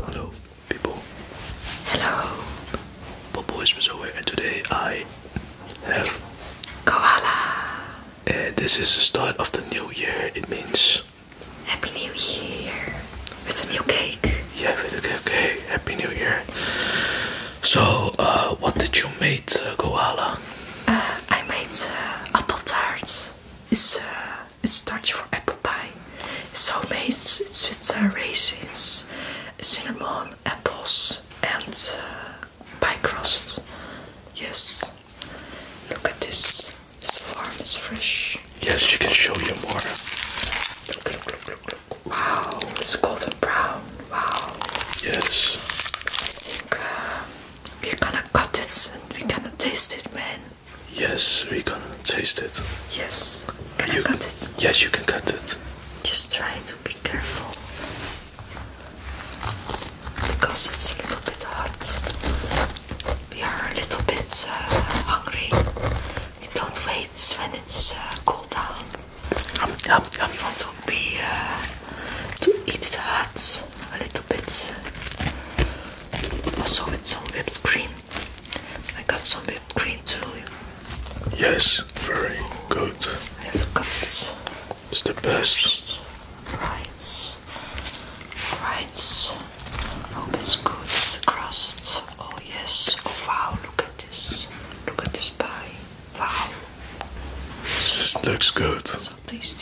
Hello, people. Hello. Bobo is Mazoe, and today I have Koala. Eh, this is the start of the new year. It means Happy New Year. With a new cake. Yeah, with a cake. Happy New Year. So, uh, what did you make, uh, uh I made uh, apple tarts. It's uh, it's Dutch for apple pie. It's homemade. It's, with uh, raisins, cinnamon, apples, and uh, pie crusts. Yes. Look at this. It's warm. It's fresh. Yes, you can show you more. Look! Look! Look! Look! look. Wow! It's golden brown. Wow. Yes. I uh, we're gonna cut it and we're gonna taste it, man. Yes, we're gonna taste it. Yes. you I cut it? Yes, you can cut it. Just try to be careful because it's a little bit hot. We are a little bit uh, hungry. We don't wait when it's cold uh, cool down. Um, um, to eat the hearts a little bit. Also with some whipped cream. I got some whipped cream too. Yes, very good. I have some cups. It's the best. Right. Right. Hope it's good. The crust. Oh yes. Oh wow, look at this. Look at this pie. Wow. This looks good. All right.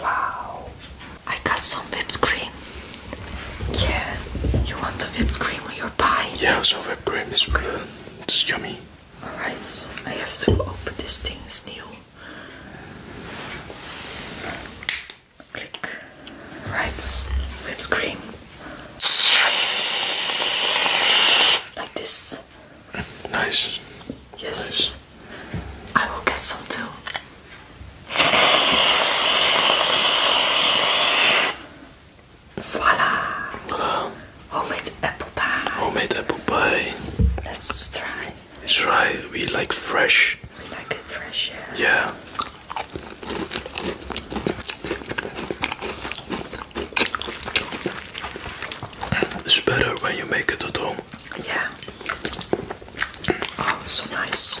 Wow. I got some whipped cream. Yeah, you want the whipped cream on your pie? Yeah, so whipped cream is real. It's yummy. Alright, I have to open this thing, it's new. Click. Right, whipped cream. Like this. Nice. Yes. I will get some too. Voila! Voila! Homemade apple pie. Homemade apple pie. Let's try. Let's try. We like fresh. We like fresh, yeah. Yeah. It's better when you make it at home. Yeah. Oh, so nice.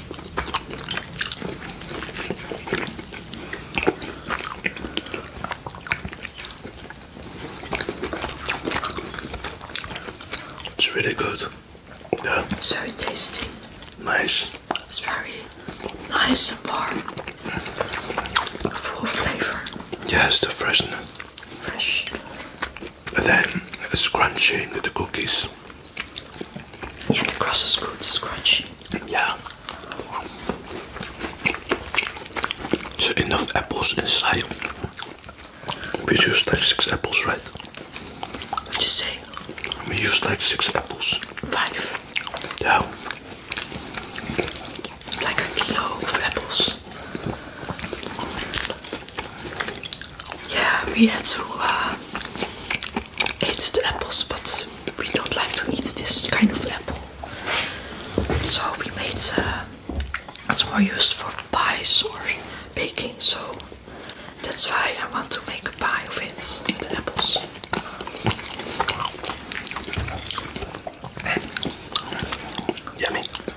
It's really good. Yeah. It's very tasty. Nice. It's very nice and bar Full flavor. Yes, the freshness. Fresh then scrunching the cookies. Yeah, the cross is good, scrunchy. Yeah. So enough apples inside. We used like six apples, right? what say? We used like six apples. Five. Yeah. Like a kilo of apples. Yeah, we had to uh, eat the apples, but we don't like to eat this kind of apple. So we made uh, it's more used for pies or baking. So that's why I want to make a pie of it with apples. Yummy.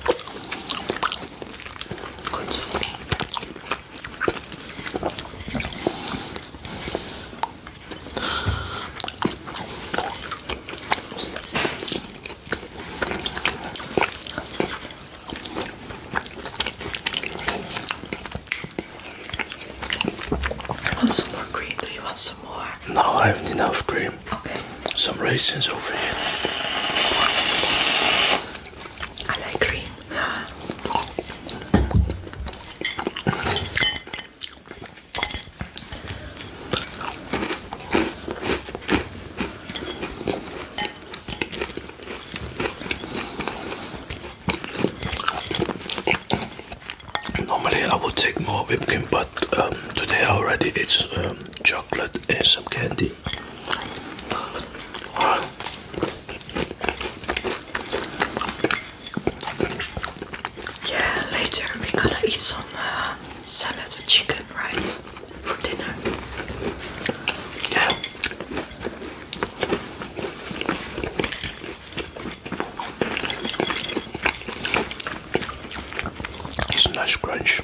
Want some more cream? Do you want some more? No, I have enough cream. Okay some raisins over here. I like green. Normally I would take more whipped cream, but um, today already it's um, chocolate chocolate and some candy. Yeah, later we're gonna eat some uh, salad with chicken, right? For dinner. Yeah. It's a nice crunch.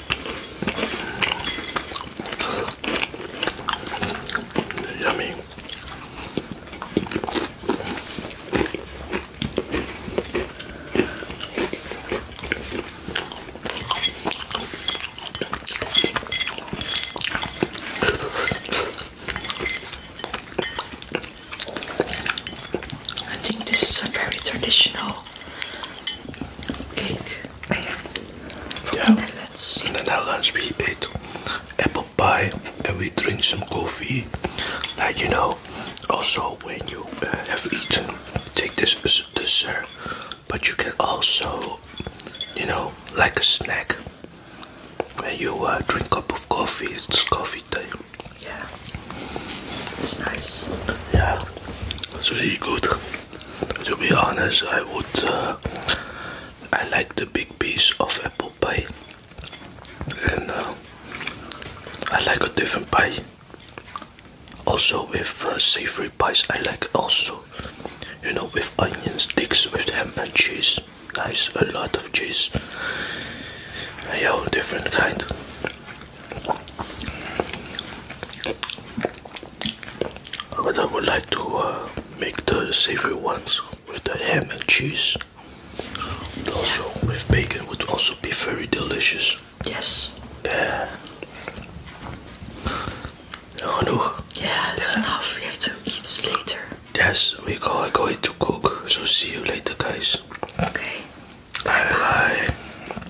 Yummy. I think this is a very traditional cake from yeah. the Netherlands. In the Netherlands, we ate apple pie and we drink some coffee. Like you know, also when you uh, have eaten, take this as dessert. But you can also, you know, like a snack. When you uh, drink a cup of coffee, it's coffee time. Yeah, it's nice. Yeah, it's really good. To be honest, I would. Uh, I like the big piece of apple pie, and uh, I like a different pie. Also with uh, savory pies, I like also, you know, with onions, sticks, with ham and cheese. Nice, a lot of cheese. Yo, different kind but I would like to uh, make the savory ones with the ham and cheese. also with bacon would also be very delicious. Yes. Yeah. Genoeg. Yeah, it's enough. We have to eat later. Yes, we are going to cook. So see you later, guys. Okay. bye. bye.